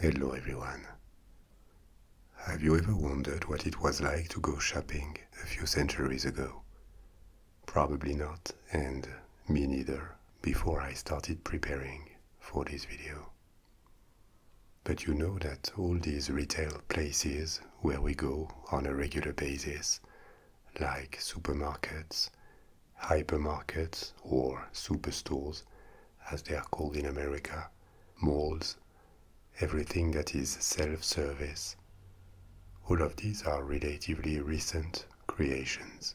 Hello everyone. Have you ever wondered what it was like to go shopping a few centuries ago? Probably not, and me neither, before I started preparing for this video. But you know that all these retail places where we go on a regular basis, like supermarkets, hypermarkets or superstores, as they are called in America, malls, everything that is self service. All of these are relatively recent creations.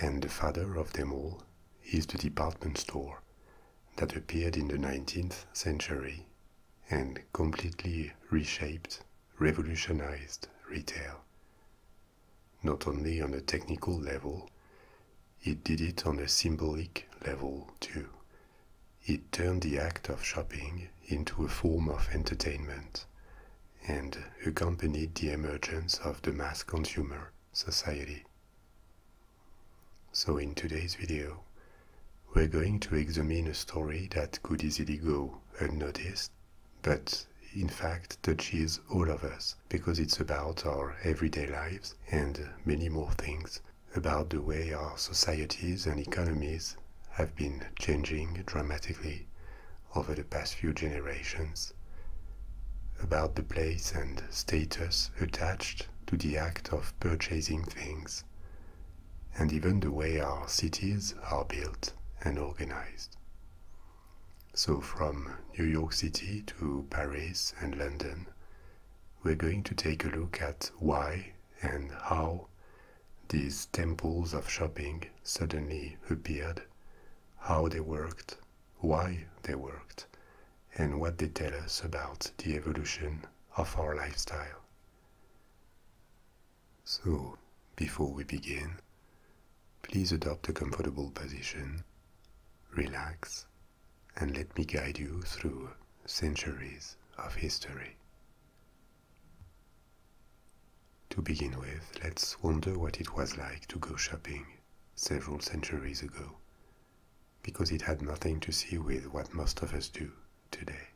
And the father of them all is the department store that appeared in the 19th century and completely reshaped, revolutionized retail not only on a technical level, it did it on a symbolic level too. It turned the act of shopping into a form of entertainment and accompanied the emergence of the mass consumer society. So in today's video, we're going to examine a story that could easily go unnoticed but in fact touches all of us because it's about our everyday lives and many more things about the way our societies and economies have been changing dramatically over the past few generations, about the place and status attached to the act of purchasing things, and even the way our cities are built and organized. So, from New York City to Paris and London, we're going to take a look at why and how these temples of shopping suddenly appeared, how they worked, why they worked, and what they tell us about the evolution of our lifestyle. So, before we begin, please adopt a comfortable position, relax, and let me guide you through centuries of history. To begin with, let's wonder what it was like to go shopping several centuries ago, because it had nothing to do with what most of us do today.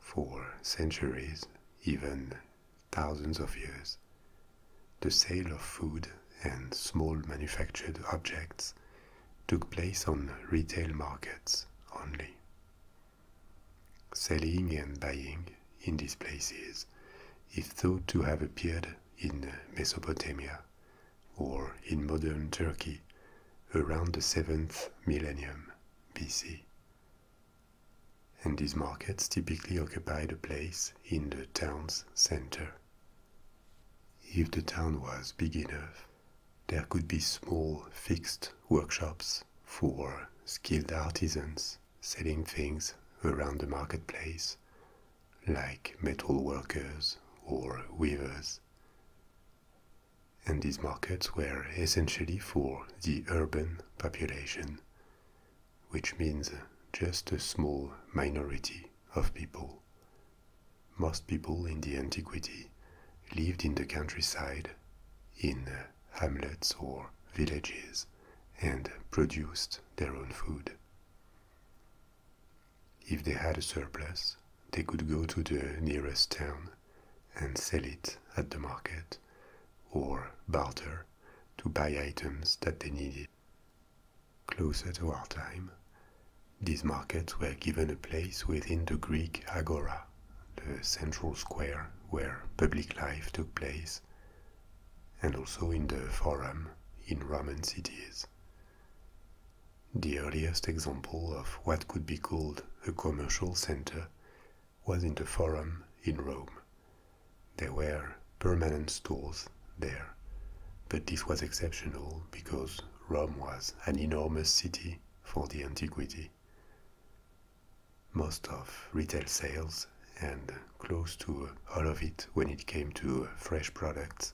For centuries, even thousands of years. The sale of food and small manufactured objects took place on retail markets only. Selling and buying in these places is thought to have appeared in Mesopotamia or in modern Turkey around the 7th millennium BC and these markets typically occupied a place in the town's center. If the town was big enough, there could be small fixed workshops for skilled artisans selling things around the marketplace, like metalworkers or weavers. And these markets were essentially for the urban population which means just a small minority of people. Most people in the antiquity lived in the countryside, in hamlets or villages, and produced their own food. If they had a surplus, they could go to the nearest town and sell it at the market or barter to buy items that they needed. Closer to our time, these markets were given a place within the Greek agora, the central square where public life took place, and also in the forum in Roman cities. The earliest example of what could be called a commercial center was in the Forum in Rome. There were permanent stalls there, but this was exceptional because Rome was an enormous city for the antiquity. Most of retail sales and close to all of it when it came to fresh products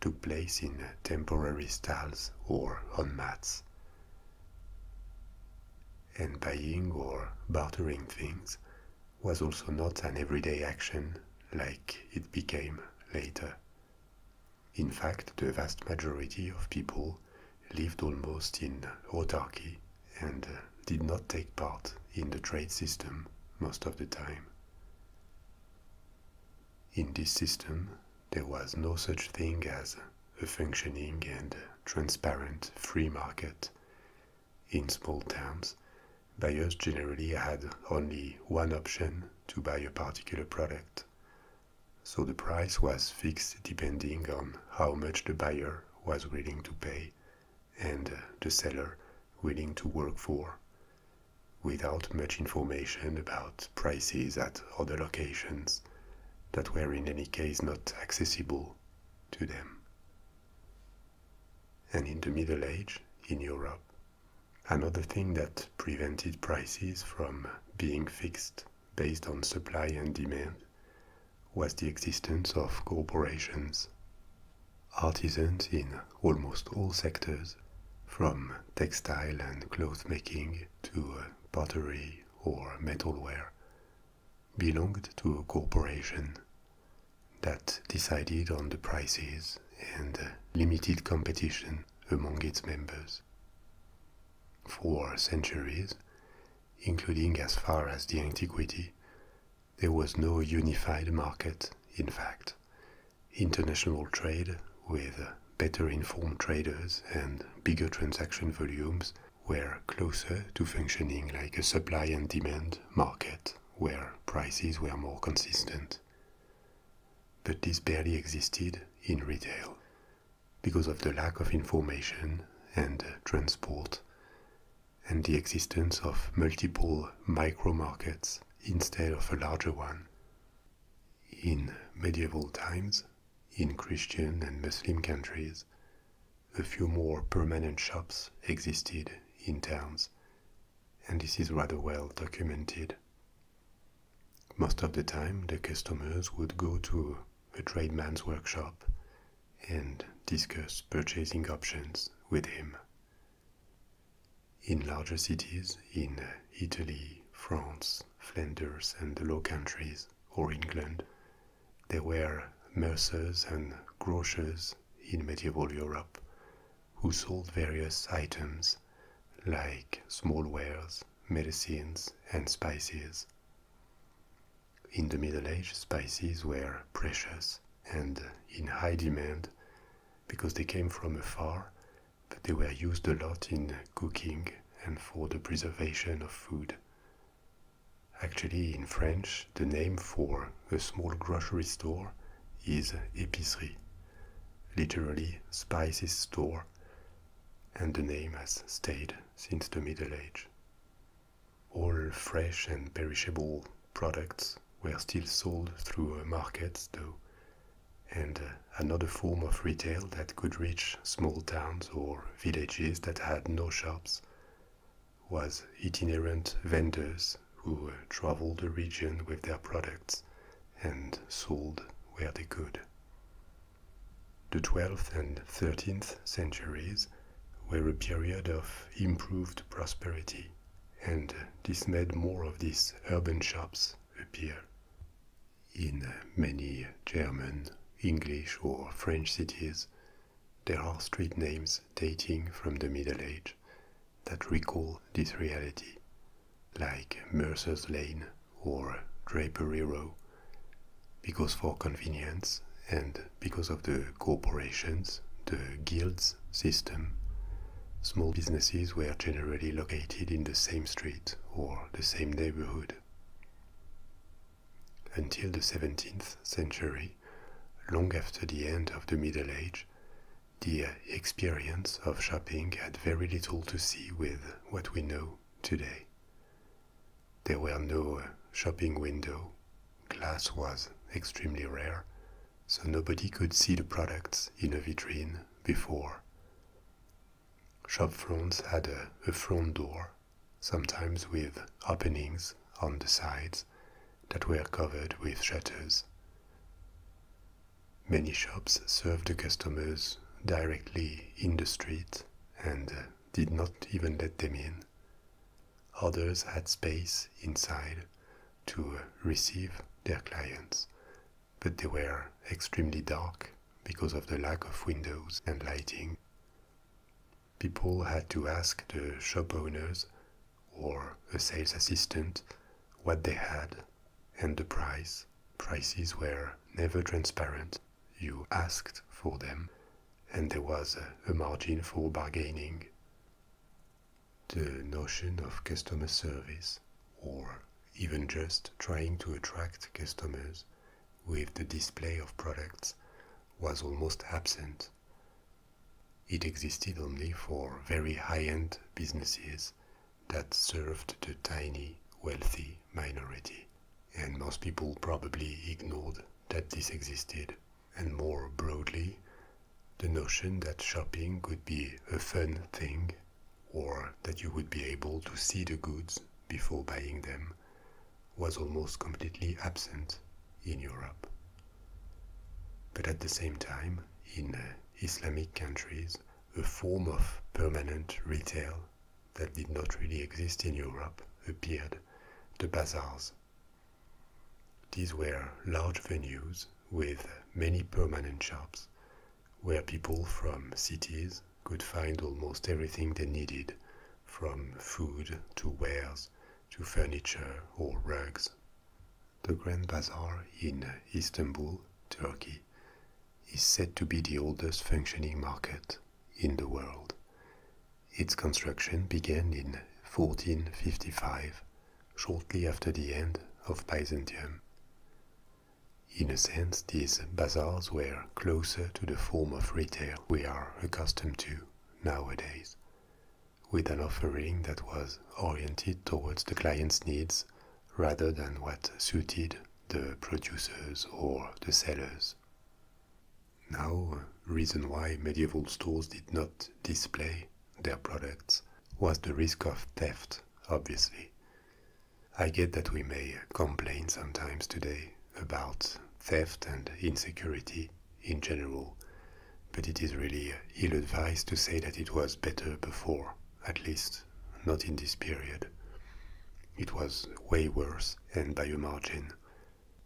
took place in temporary stalls or on mats and buying or bartering things was also not an everyday action like it became later. In fact, the vast majority of people lived almost in autarky and uh, did not take part in the trade system most of the time. In this system, there was no such thing as a functioning and transparent free market, in small towns, buyers generally had only one option to buy a particular product. So the price was fixed depending on how much the buyer was willing to pay and the seller willing to work for, without much information about prices at other locations that were in any case not accessible to them. And in the Middle Age, in Europe, another thing that prevented prices from being fixed based on supply and demand was the existence of corporations. Artisans in almost all sectors, from textile and cloth making to pottery or metalware, belonged to a corporation that decided on the prices and limited competition among its members. For centuries, including as far as the antiquity, there was no unified market, in fact. International trade, with better informed traders and bigger transaction volumes, were closer to functioning like a supply and demand market where prices were more consistent. But this barely existed in retail because of the lack of information and transport and the existence of multiple micro markets instead of a larger one. In medieval times, in Christian and Muslim countries, a few more permanent shops existed in towns, and this is rather well documented. Most of the time, the customers would go to a tradesman's workshop and discuss purchasing options with him. In larger cities, in Italy, France, Flanders, and the Low Countries, or England, there were mercers and grocers in medieval Europe who sold various items like small wares, medicines, and spices. In the Middle Age, spices were precious and in high demand because they came from afar, but they were used a lot in cooking and for the preservation of food. Actually, in French, the name for a small grocery store is épicerie, literally spices store, and the name has stayed since the Middle Age. All fresh and perishable products were still sold through markets, though, and uh, another form of retail that could reach small towns or villages that had no shops was itinerant vendors who traveled the region with their products and sold where they could. The 12th and 13th centuries were a period of improved prosperity, and this made more of these urban shops appear. In many German, English, or French cities, there are street names dating from the Middle Age that recall this reality, like Mercer's Lane or Drapery Row, because for convenience and because of the corporations, the guilds system, small businesses were generally located in the same street or the same neighborhood. Until the 17th century, long after the end of the Middle Age, the experience of shopping had very little to see with what we know today. There were no shopping window, glass was extremely rare, so nobody could see the products in a vitrine before. Shop fronts had a front door sometimes with openings on the sides that were covered with shutters. Many shops served the customers directly in the street and uh, did not even let them in. Others had space inside to uh, receive their clients, but they were extremely dark because of the lack of windows and lighting people had to ask the shop owners or a sales assistant what they had and the price. Prices were never transparent. You asked for them, and there was a margin for bargaining. The notion of customer service, or even just trying to attract customers with the display of products, was almost absent. It existed only for very high-end businesses that served the tiny, wealthy minority, and most people probably ignored that this existed. And more broadly, the notion that shopping could be a fun thing or that you would be able to see the goods before buying them was almost completely absent in Europe. But at the same time, in uh, Islamic countries, a form of permanent retail that did not really exist in Europe appeared the bazaars. These were large venues with many permanent shops where people from cities could find almost everything they needed from food to wares to furniture or rugs. The Grand Bazaar in Istanbul, Turkey, is said to be the oldest functioning market in the world. Its construction began in 1455, shortly after the end of Byzantium. In a sense, these bazaars were closer to the form of retail we are accustomed to nowadays, with an offering that was oriented towards the client's needs rather than what suited the producers or the sellers. Now, reason why medieval stores did not display their products was the risk of theft, obviously. I get that we may complain sometimes today about theft and insecurity in general, but it is really ill advised to say that it was better before, at least not in this period. It was way worse, and by a margin.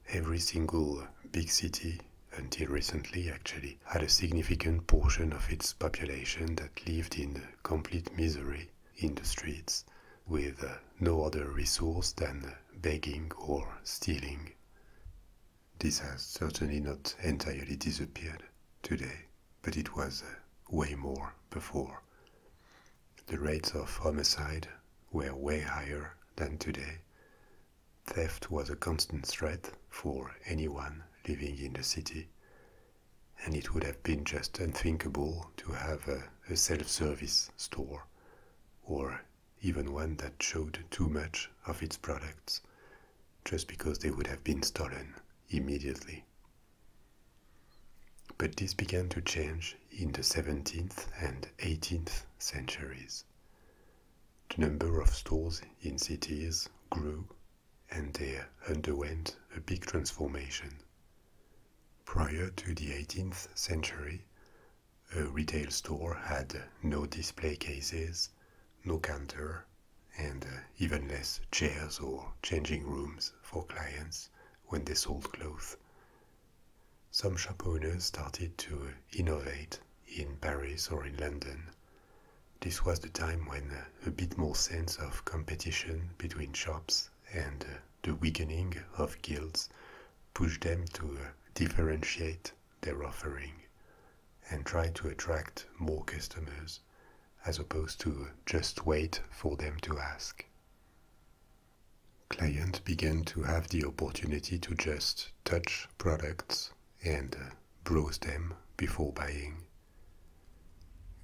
Every single big city, until recently actually, had a significant portion of its population that lived in complete misery in the streets, with uh, no other resource than uh, begging or stealing. This has certainly not entirely disappeared today, but it was uh, way more before. The rates of homicide were way higher than today. Theft was a constant threat for anyone living in the city, and it would have been just unthinkable to have a, self service store or even one that showed too much of its products, just because they would have been stolen immediately. But this began to change in the 17th and 18th centuries. The number of stores in cities grew and they underwent a big transformation. Prior to the 18th century, a retail store had no display cases, no counter, and uh, even less chairs or changing rooms for clients when they sold clothes. Some shop owners started to innovate in Paris or in London. This was the time when uh, a bit more sense of competition between shops and uh, the weakening of guilds pushed them to uh, differentiate their offering and try to attract more customers as opposed to uh, just wait for them to ask. Clients began to have the opportunity to just touch products and uh, browse them before buying.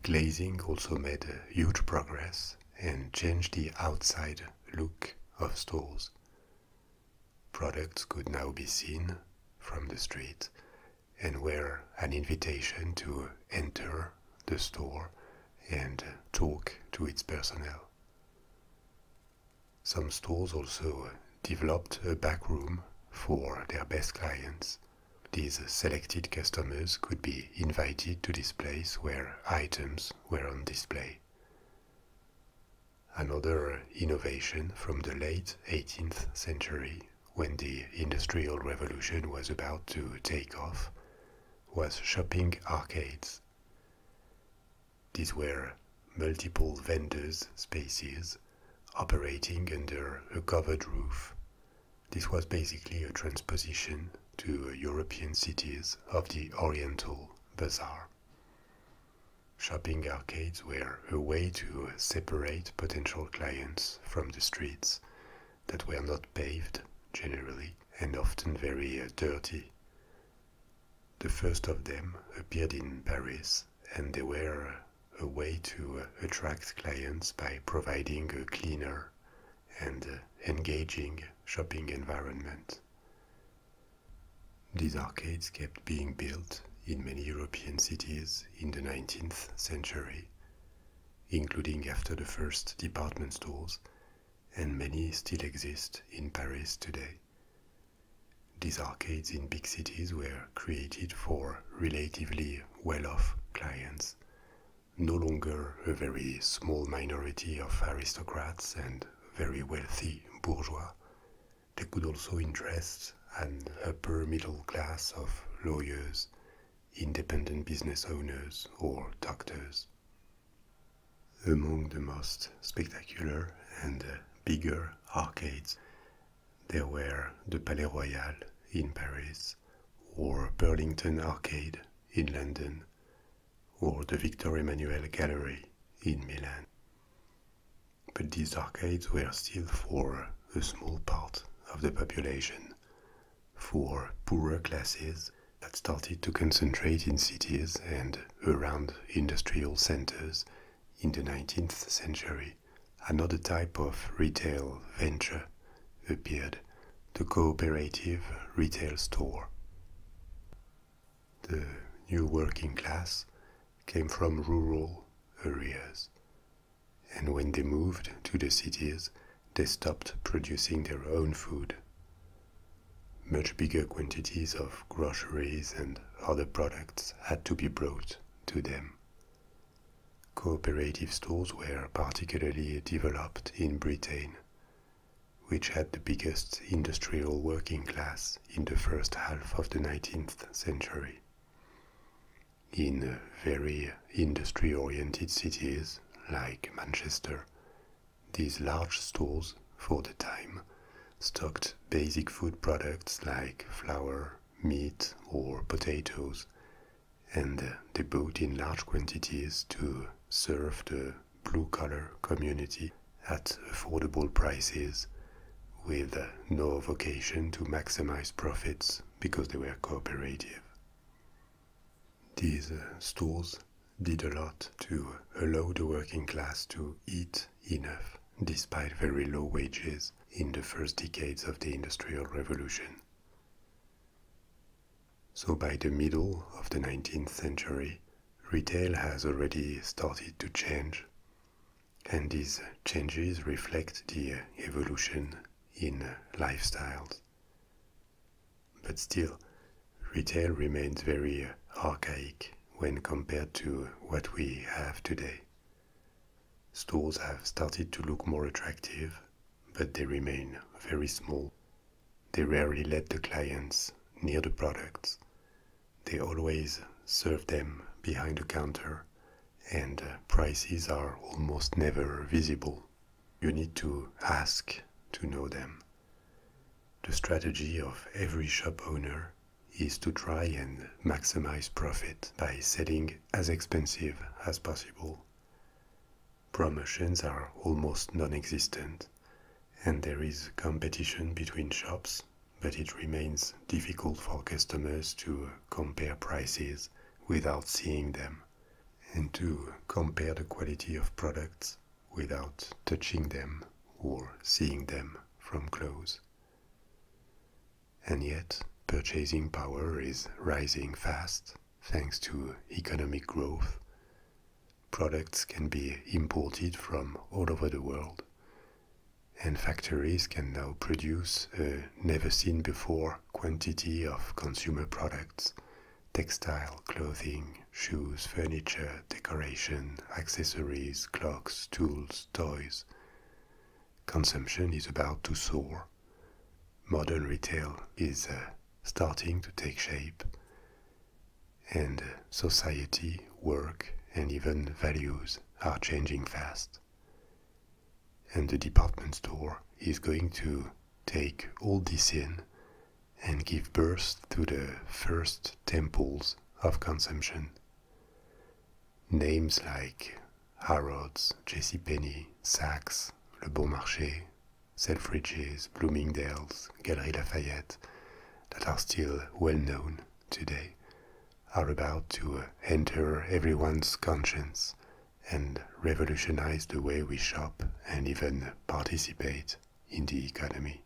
Glazing also made huge progress and changed the outside look of stores. Products could now be seen from the street and were an invitation to enter the store and talk to its personnel. Some stores also developed a back room for their best clients. These selected customers could be invited to this place where items were on display. Another innovation from the late 18th century, when the Industrial Revolution was about to take off, was shopping arcades. These were multiple vendors' spaces operating under a covered roof. This was basically a transposition to European cities of the Oriental Bazaar. Shopping arcades were a way to separate potential clients from the streets that were not paved generally and often very uh, dirty. The first of them appeared in Paris and they were a way to uh, attract clients by providing a cleaner, and uh, engaging shopping environment. These arcades kept being built in many European cities in the 19th century, including after the first department stores, and many still exist in Paris today. These arcades in big cities were created for relatively well off clients no longer a very small minority of aristocrats and very wealthy bourgeois. They could also interest an upper middle class of lawyers, independent business owners, or doctors. Among the most spectacular and uh, bigger arcades, there were the Palais Royal in Paris or Burlington Arcade in London, or the Victor Emmanuel Gallery in Milan. But these arcades were still for a small part of the population, for poorer classes that started to concentrate in cities and around industrial centers in the 19th century, another type of retail venture appeared the cooperative retail store. The new working class came from rural areas, and when they moved to the cities, they stopped producing their own food. Much bigger quantities of groceries and other products had to be brought to them. Cooperative stores were particularly developed in Britain which had the biggest industrial working class in the first half of the 19th century. In very industry oriented cities like Manchester, these large stores, for the time, stocked basic food products like flour, meat, or potatoes, and they bought in large quantities to serve the blue collar community at affordable prices with no vocation to maximize profits because they were cooperative. These stores did a lot to allow the working class to eat enough despite very low wages in the first decades of the Industrial Revolution. So by the middle of the 19th century, retail has already started to change. And these changes reflect the evolution in lifestyles. But still, retail remains very archaic when compared to what we have today. Stores have started to look more attractive but they remain very small. They rarely let the clients near the products. They always serve them behind the counter, and uh, prices are almost never visible. You need to ask to know them. The strategy of every shop owner is to try and maximize profit by selling as expensive as possible. Promotions are almost non existent, and there is competition between shops, but it remains difficult for customers to compare prices without seeing them and to compare the quality of products without touching them or seeing them from close. And yet, purchasing power is rising fast thanks to economic growth. Products can be imported from all over the world, and factories can now produce a uh, never seen before quantity of consumer products textile, clothing, shoes, furniture, decoration, accessories, clocks, tools, toys. Consumption is about to soar. Modern retail is uh, starting to take shape, and uh, society, work, and even values are changing fast. And the department store is going to take all this in and give birth to the first temples of consumption. Names like Harrods, JCPenney, Saks, Le Bon Marché, Selfridges, Bloomingdale's, Galeries Lafayette, that are still well known today, are about to uh, enter everyone's conscience and revolutionize the way we shop and even participate in the economy.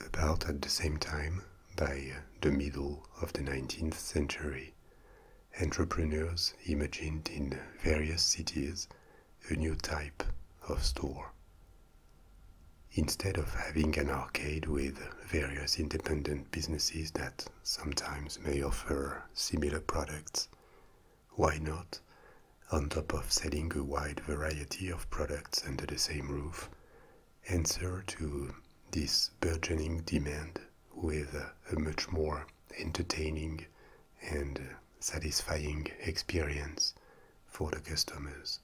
About at the same time, by uh, the middle of the 19th century, entrepreneurs imagined in various cities a new type of store. Instead of having an arcade with various independent businesses that sometimes may offer similar products, why not, on top of selling a wide variety of products under the same roof, answer to this burgeoning demand with a much more entertaining and satisfying experience for the customers.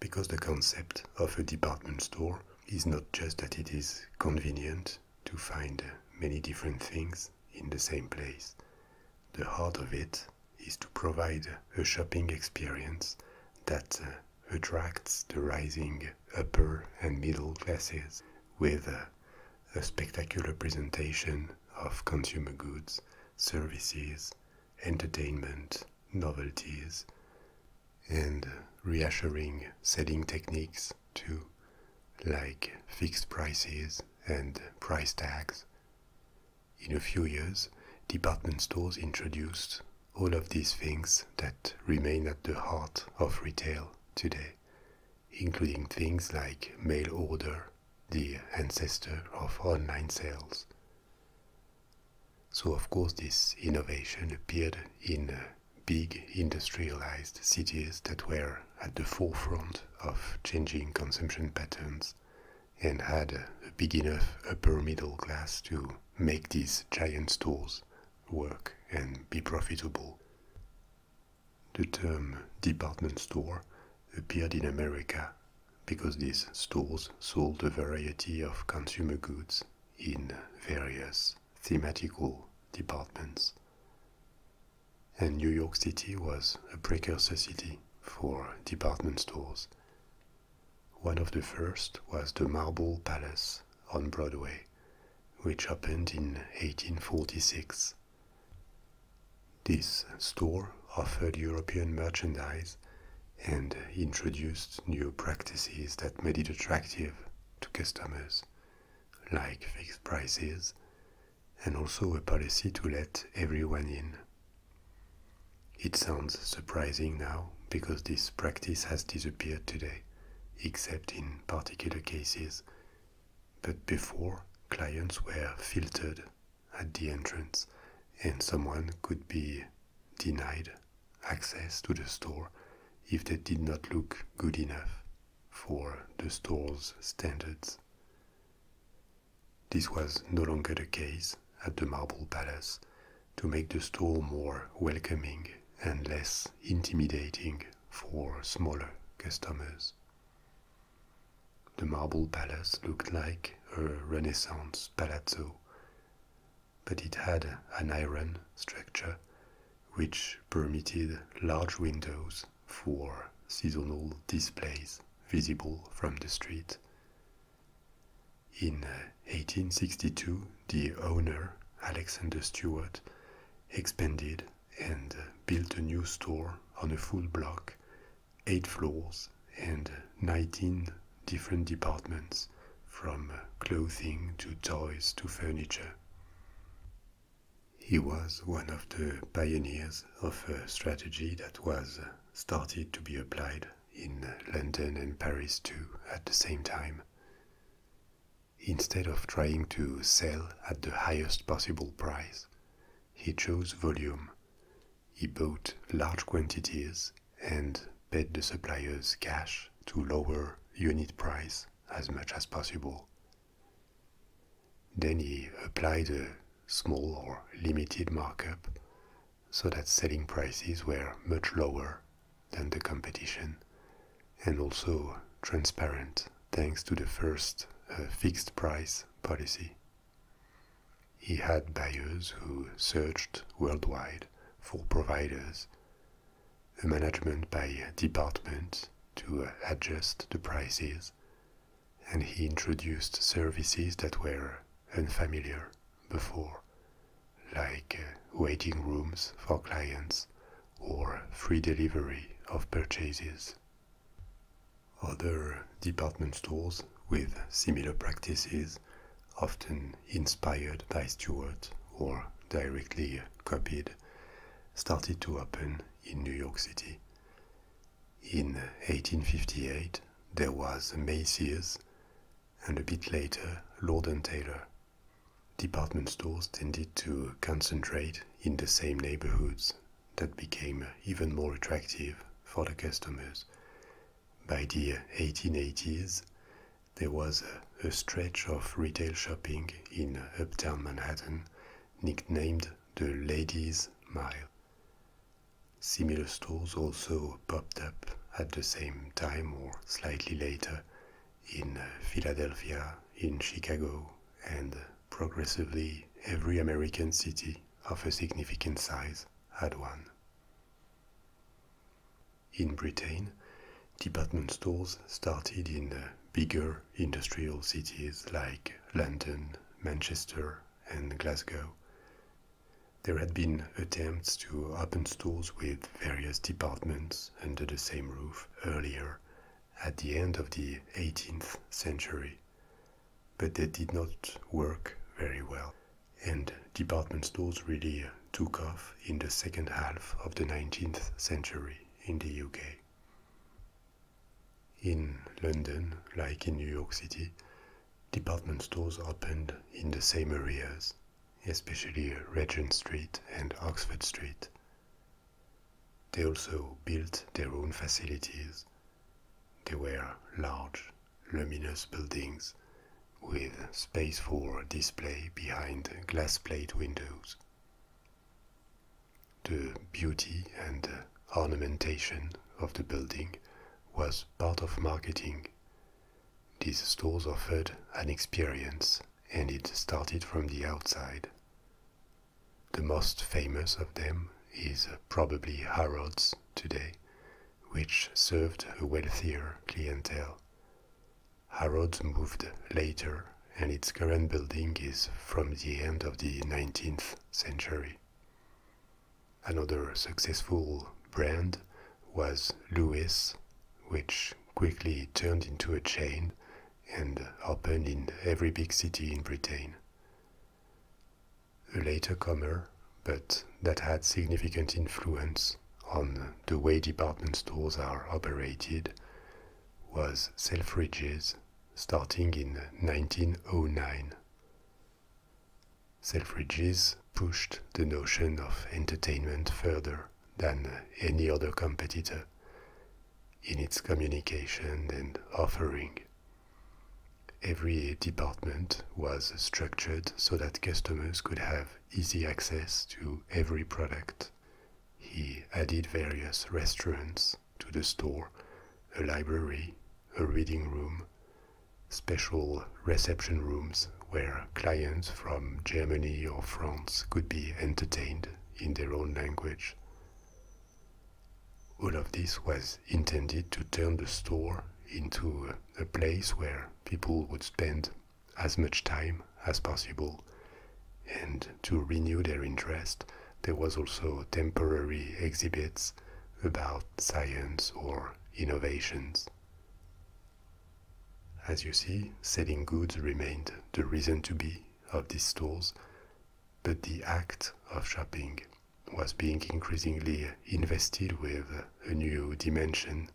Because the concept of a department store is not just that it is convenient to find many different things in the same place. The heart of it is to provide a shopping experience that uh, attracts the rising upper and middle classes with uh, a spectacular presentation of consumer goods, services, entertainment, novelties, and reassuring selling techniques too, like fixed prices and price tags. In a few years, department stores introduced all of these things that remain at the heart of retail today including things like mail order, the ancestor of online sales. So, of course, this innovation appeared in uh, big industrialized cities that were at the forefront of changing consumption patterns and had a big enough upper middle class to make these giant stores work and be profitable. The term department store appeared in America because these stores sold a variety of consumer goods in various thematical departments. And New York City was a precursor city for department stores. One of the first was the Marble Palace on Broadway, which happened in 1846. This store offered European merchandise and introduced new practices that made it attractive to customers, like fixed prices and also a policy to let everyone in. It sounds surprising now because this practice has disappeared today, except in particular cases but before, clients were filtered at the entrance, and someone could be denied access to the store if they did not look good enough for the store's standards. This was no longer the case at the Marble Palace to make the store more welcoming and less intimidating for smaller customers. The marble palace looked like a Renaissance palazzo, but it had an iron structure which permitted large windows for seasonal displays visible from the street. In 1862, the owner, Alexander Stewart, expanded and uh, built a new store on a full block, eight floors, and uh, 19 different departments from uh, clothing to toys to furniture. He was one of the pioneers of a strategy that was started to be applied in London and Paris too at the same time. Instead of trying to sell at the highest possible price, he chose volume. He bought large quantities and paid the suppliers cash to lower unit price as much as possible. Then he applied a small or limited markup so that selling prices were much lower than the competition and also transparent thanks to the first uh, fixed price policy. He had buyers who searched worldwide for providers, a management by department to uh, adjust the prices, and he introduced services that were unfamiliar before, like uh, waiting rooms for clients or free delivery of purchases. Other department stores with similar practices, often inspired by Stewart or directly copied, started to open in New York City. In 1858, there was Macy's and a bit later Lord and Taylor. Department stores tended to concentrate in the same neighborhoods that became even more attractive for the customers. By the 1880s, there was a stretch of retail shopping in uptown Manhattan nicknamed the Ladies' Mile. Similar stores also popped up at the same time or slightly later in uh, Philadelphia, in Chicago, and progressively every American city of a significant size had one. In Britain, department stores started in uh, bigger industrial cities like London, Manchester, and Glasgow. There had been attempts to open stores with various departments under the same roof earlier at the end of the 18th century, but they did not work very well, and department stores really took off in the second half of the 19th century in the UK. In London, like in New York City, department stores opened in the same areas, especially Regent Street and Oxford Street. They also built their own facilities. They were large, luminous buildings with space for display behind glass plate windows. The beauty and ornamentation of the building was part of marketing. These stores offered an experience and it started from the outside. The most famous of them is probably Harrods today, which served a wealthier clientele. Harrods moved later, and its current building is from the end of the 19th century. Another successful brand was Lewis, which quickly turned into a chain and opened in every big city in Britain. A later comer, but that had significant influence on the way department stores are operated, was Selfridges, starting in 1909. Selfridges pushed the notion of entertainment further than any other competitor in its communication and offering. Every department was structured so that customers could have easy access to every product. He added various restaurants to the store, a library, a reading room, special reception rooms where clients from Germany or France could be entertained in their own language. All of this was intended to turn the store into a place where people would spend as much time as possible and to renew their interest there was also temporary exhibits about science or innovations. As you see, selling goods remained the reason to be of these stores, but the act of shopping was being increasingly invested with a new dimension.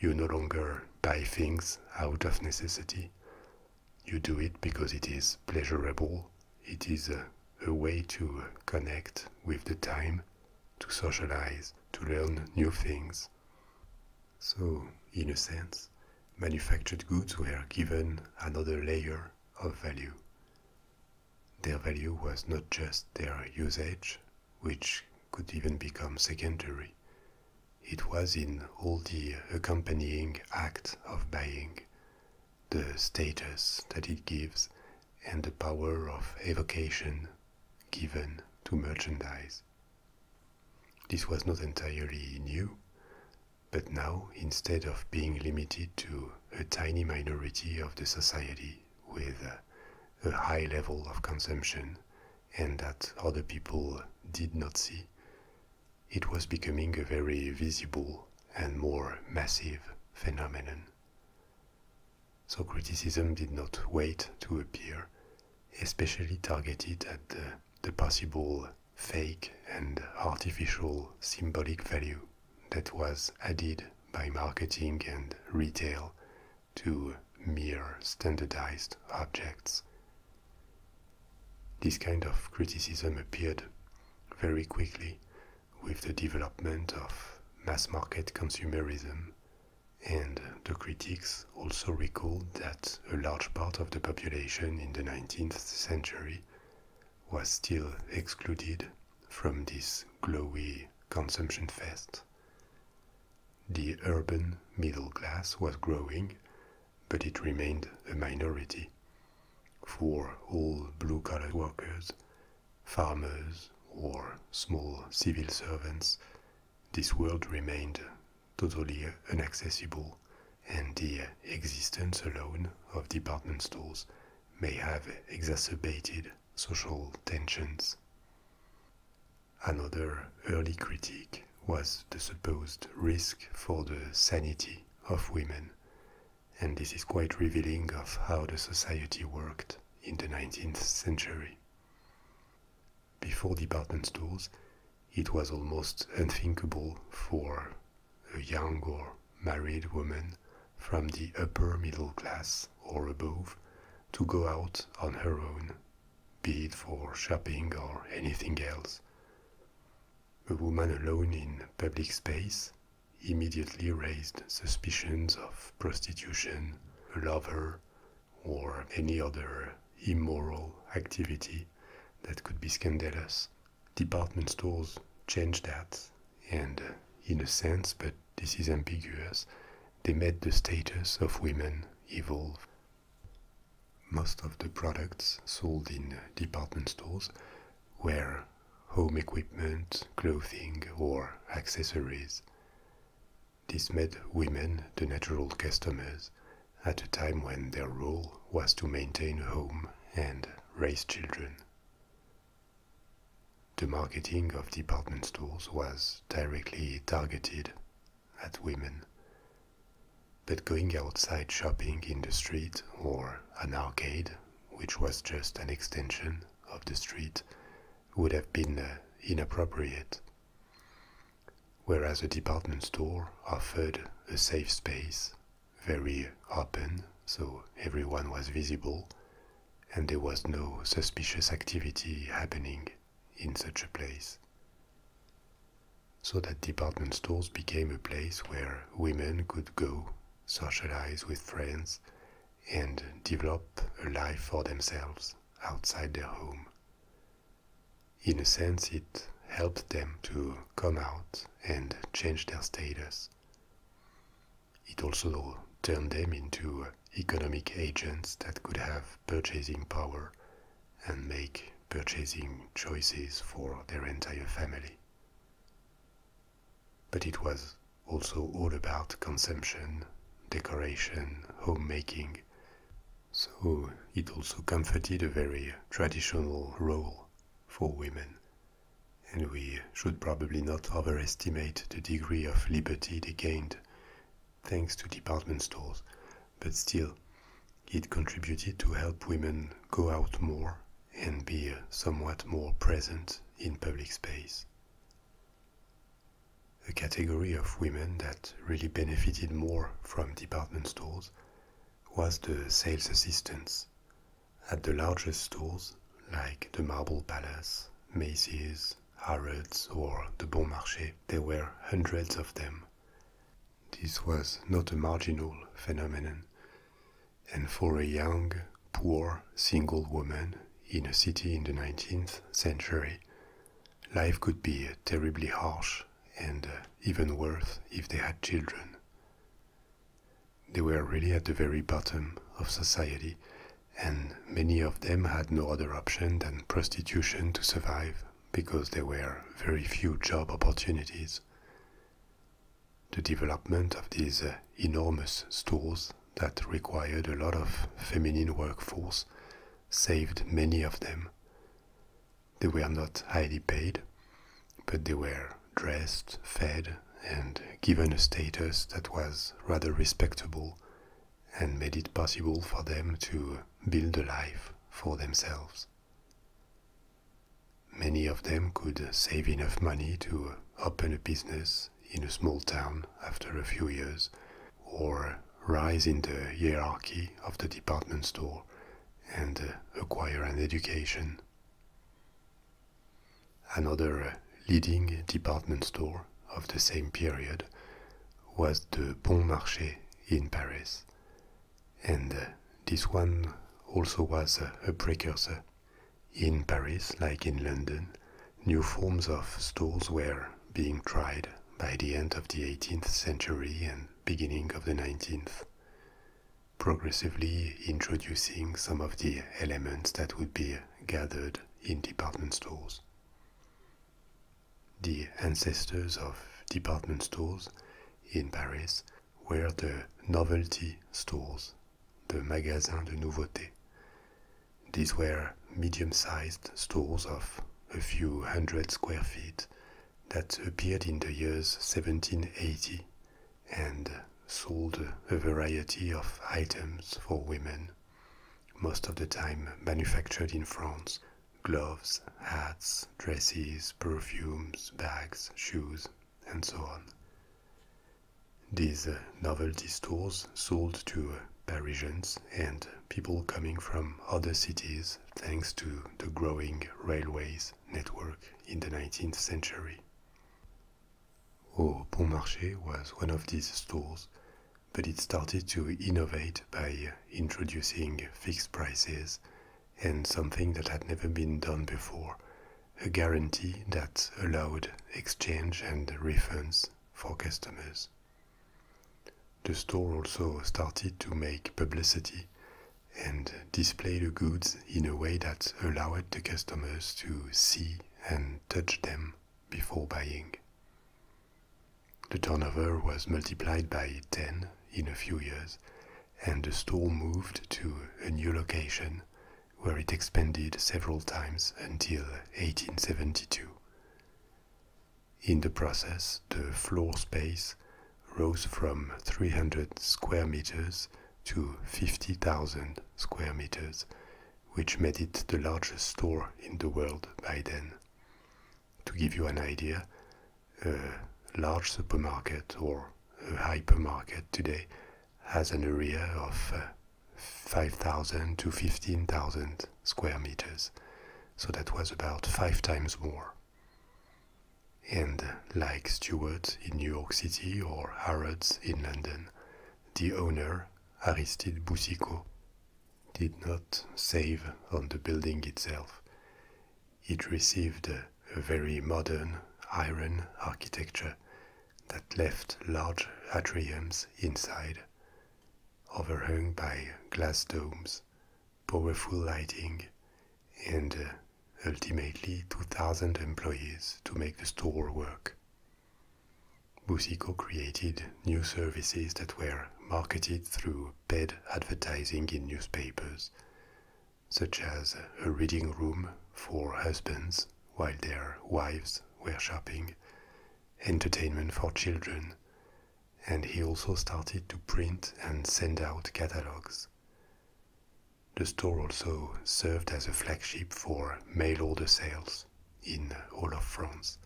You no longer buy things out of necessity. You do it because it is pleasurable. It is a, way to connect with the time, to socialize, to learn new things. So, in a sense, manufactured goods were given another layer of value. Their value was not just their usage, which could even become secondary. It was in all the accompanying act of buying, the status that it gives, and the power of evocation given to merchandise. This was not entirely new, but now, instead of being limited to a tiny minority of the society with a high level of consumption and that other people did not see, it was becoming a very visible and more massive phenomenon. So criticism did not wait to appear, especially targeted at the the possible fake and artificial symbolic value that was added by marketing and retail to mere standardized objects. This kind of criticism appeared very quickly with the development of mass market consumerism and the critics also recalled that a large part of the population in the 19th century was still excluded from this glowy consumption fest. The urban middle class was growing, but it remained a minority. For all blue collar workers, farmers, or small civil servants, this world remained totally inaccessible, and the existence alone of department stores may have exacerbated social tensions. Another early critique was the supposed risk for the sanity of women, and this is quite revealing of how the society worked in the 19th century before department stores, it was almost unthinkable for a young or married woman from the upper middle class or above to go out on her own, be it for shopping or anything else. A woman alone in public space immediately raised suspicions of prostitution, a lover, or any other immoral activity that could be scandalous. Department stores changed that, and uh, in a sense, but this is ambiguous, they made the status of women evolve. Most of the products sold in department stores were home equipment, clothing, or accessories. This made women the natural customers at a time when their role was to maintain a home and raise children. The marketing of department stores was directly targeted at women. But going outside shopping in the street or an arcade, which was just an extension of the street, would have been uh, inappropriate Whereas a department store offered a safe space, very open, so everyone was visible, and there was no suspicious activity happening in such a place. So that department stores became a place where women could go, socialize with friends, and develop a life for themselves outside their home. In a sense, it helped them to come out and change their status. It also turned them into economic agents that could have purchasing power and make purchasing choices for their entire family. But it was also all about consumption, decoration, homemaking, so it also comforted a very traditional role for women. And we should probably not overestimate the degree of liberty they gained thanks to department stores, but still, it contributed to help women go out more and be somewhat more present in public space a category of women that really benefited more from department stores was the sales assistants at the largest stores like the Marble Palace, Macy's, Harrods, or the Bon Marché. There were hundreds of them. This was not a marginal phenomenon, and for a young, poor, single woman in a city in the 19th century, Life could be terribly harsh and uh, even worse if they had children. They were really at the very bottom of society, and many of them had no other option than prostitution to survive because there were very few job opportunities. The development of these uh, enormous stores that required a lot of feminine workforce saved many of them they were not highly paid, but they were dressed, fed, and given a status that was rather respectable and made it possible for them to build a life for themselves. Many of them could save enough money to open a business in a small town after a few years or rise in the hierarchy of the department store and uh, acquire an education. Another uh, leading department store of the same period was the Bon Marché in Paris, and uh, this one also was a precursor. In Paris, like in London, new forms of stores were being tried by the end of the 18th century and beginning of the 19th, progressively introducing some of the elements that would be gathered in department stores. The ancestors of department stores in Paris were the novelty stores, the magasins de nouveautés, these were medium sized stores of a few hundred square feet that appeared in the years 1780 and sold a variety of items for women, most of the time manufactured in France gloves, hats, dresses, perfumes, bags, shoes, and so on. These novelty stores sold to Parisians and people coming from other cities thanks to the growing railways network in the 19th century. Au oh, Bon Marché was one of these stores, but it started to innovate by introducing fixed prices and something that had never been done before a guarantee that allowed exchange and refunds for customers. The store also started to make publicity and display the goods in a way that allowed the customers to see and touch them before buying. The turnover was multiplied by 10 in a few years, and the store moved to a new location where it expanded several times until 1872. In the process, the floor space rose from 300 square meters to 50,000 square meters, which made it the largest store in the world by then. To give you an idea, a large supermarket or a hypermarket today has an area of uh, 5,000 to 15,000 square meters, so that was about five times more. And like Stewart in New York City or Harrods in London, the owner, Aristide Boussicault, did not save on the building itself. It received a very modern iron architecture that left large atriums inside overhung by glass domes, powerful lighting, and uh, ultimately 2,000 employees to make the store work. Busico created new services that were marketed through paid advertising in newspapers, such as a reading room for husbands while their wives were shopping, entertainment for children, and he also started to print and send out catalogs. The store also served as a flagship for mail order sales in all of France.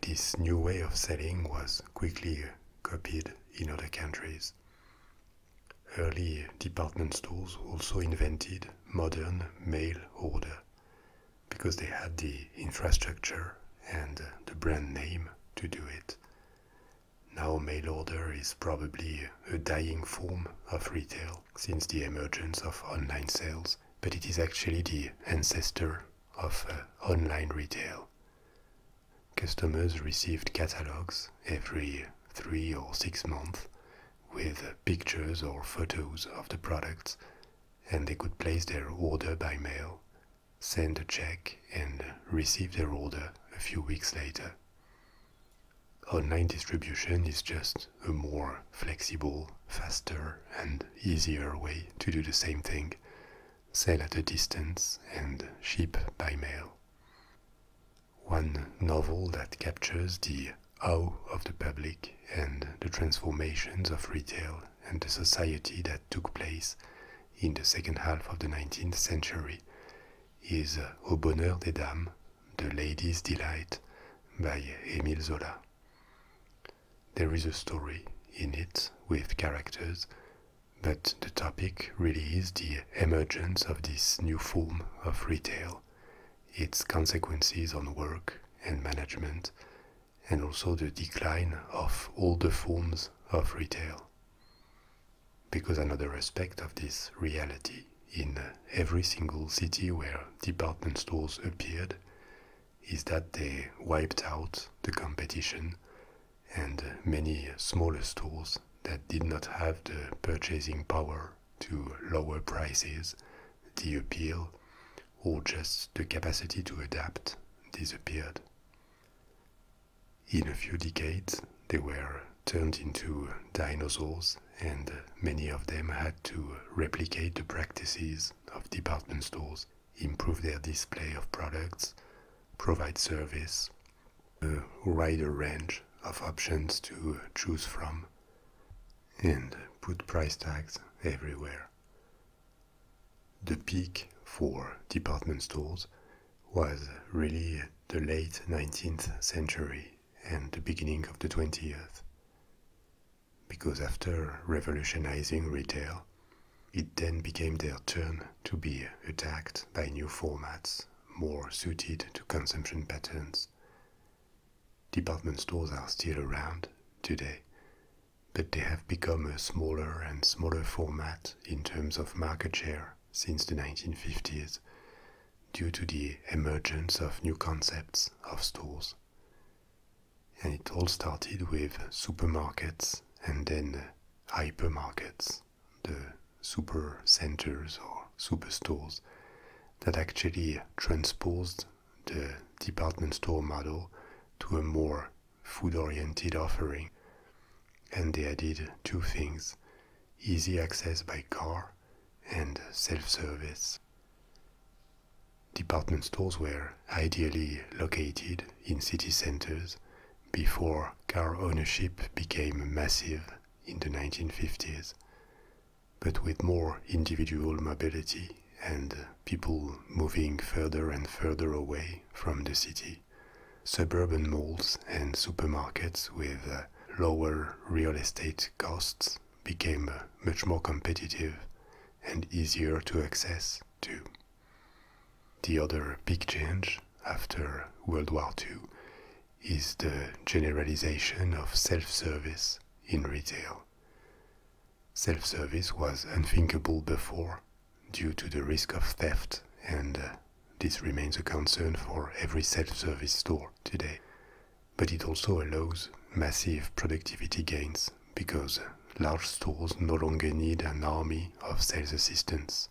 This new way of selling was quickly copied in other countries. Early department stores also invented modern mail order because they had the infrastructure and uh, the brand name to do it. Now, mail order is probably a dying form of retail since the emergence of online sales, but it is actually the ancestor of uh, online retail. Customers received catalogs every three or six months with pictures or photos of the products and they could place their order by mail, send a check, and receive their order a few weeks later. Online distribution is just a more flexible, faster, and easier way to do the same thing sell at a distance and ship by mail. One novel that captures the awe of the public and the transformations of retail and the society that took place in the second half of the 19th century is uh, Au Bonheur des Dames, The ladies' Delight by Émile Zola. There is a story in it with characters, but the topic really is the emergence of this new form of retail, its consequences on work and management, and also the decline of all the forms of retail. Because another aspect of this reality in every single city where department stores appeared is that they wiped out the competition and many smaller stores that did not have the purchasing power to lower prices, the appeal, or just the capacity to adapt disappeared. In a few decades, they were turned into dinosaurs, and many of them had to replicate the practices of department stores, improve their display of products, provide service, a wider range of options to choose from, and put price tags everywhere. The peak for department stores was really the late 19th century and the beginning of the 20th. Because after revolutionizing retail, it then became their turn to be attacked by new formats more suited to consumption patterns. Department stores are still around today but they have become a smaller and smaller format in terms of market share since the 1950s due to the emergence of new concepts of stores. And it all started with supermarkets and then hypermarkets, the super centers or superstores that actually transposed the department store model to a more food oriented offering, and they added two things easy access by car and self service. Department stores were ideally located in city centers before car ownership became massive in the 1950s. But with more individual mobility and uh, people moving further and further away from the city, suburban malls and supermarkets with uh, lower real estate costs became uh, much more competitive and easier to access, too. The other big change after World War II is the generalization of self service in retail. Self service was unthinkable before due to the risk of theft, and uh, this remains a concern for every self service store today. But it also allows massive productivity gains because uh, large stores no longer need an army of sales assistants.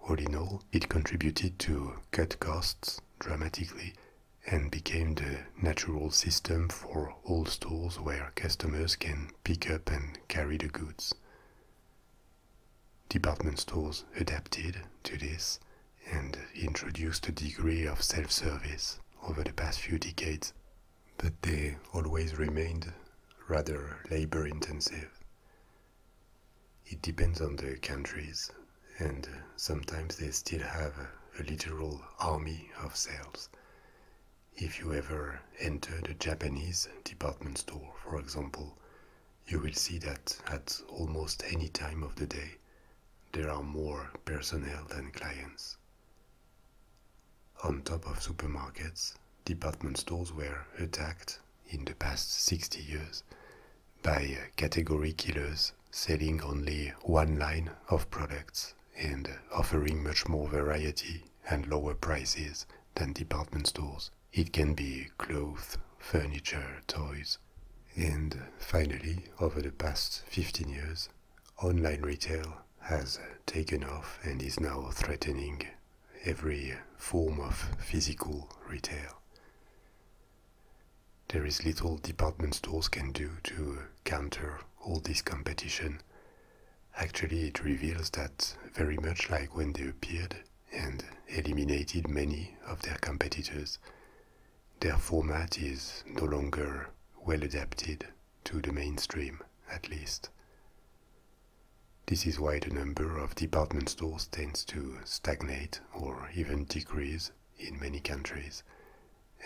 All in all, it contributed to cut costs dramatically and became the natural system for all stores where customers can pick up and carry the goods. Department stores adapted to this and introduced a degree of self service over the past few decades, but they always remained rather labor intensive. It depends on the countries and sometimes they still have a literal army of sales. If you ever entered a Japanese department store, for example, you will see that at almost any time of the day, there are more personnel than clients. On top of supermarkets, department stores were attacked in the past 60 years by category killers selling only one line of products and offering much more variety and lower prices than department stores. It can be clothes, furniture, toys. And finally, over the past 15 years, online retail has taken off and is now threatening every form of physical retail there is little department stores can do to counter all this competition. Actually, it reveals that very much like when they appeared and eliminated many of their competitors, their format is no longer well adapted to the mainstream, at least. This is why the number of department stores tends to stagnate or even decrease in many countries,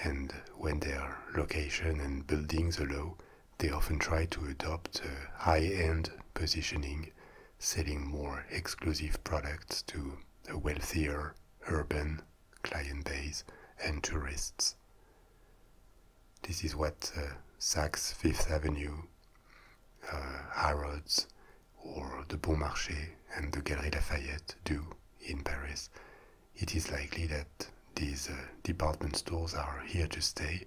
and when their location and buildings allow, they often try to adopt a high-end positioning, selling more exclusive products to a wealthier urban client base and tourists. This is what uh, Saks Fifth Avenue, uh, Harrods, or the Bon Marché and the Galerie Lafayette do in Paris, it is likely that these uh, department stores are here to stay,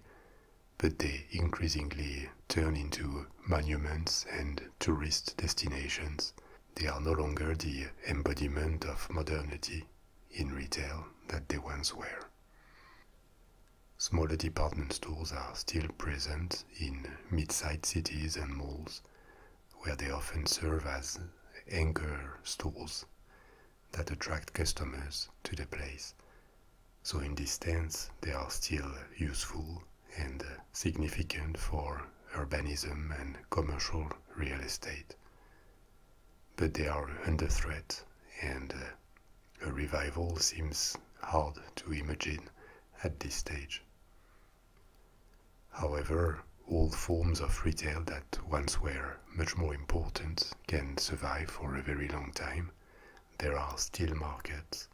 but they increasingly turn into monuments and tourist destinations. They are no longer the embodiment of modernity in retail that they once were. Smaller department stores are still present in mid-sized cities and malls, where they often serve as anchor stores that attract customers to the place. So, in this sense, they are still useful and uh, significant for urbanism and commercial real estate. But they are under threat, and uh, a revival seems hard to imagine at this stage. However, all forms of retail that once were much more important can survive for a very long time. There are still markets,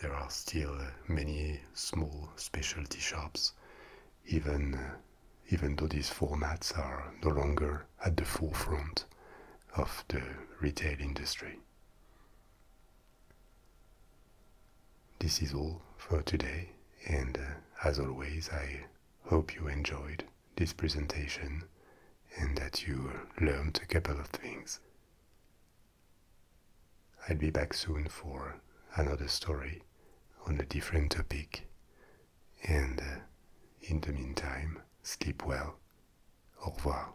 there are still many small specialty shops, even, even though these formats are no longer at the forefront of the retail industry. This is all for today, and uh, as always, I hope you enjoyed this presentation and that you learned a couple of things. I'll be back soon for another story on a different topic, and uh, in the meantime, sleep well. Au revoir.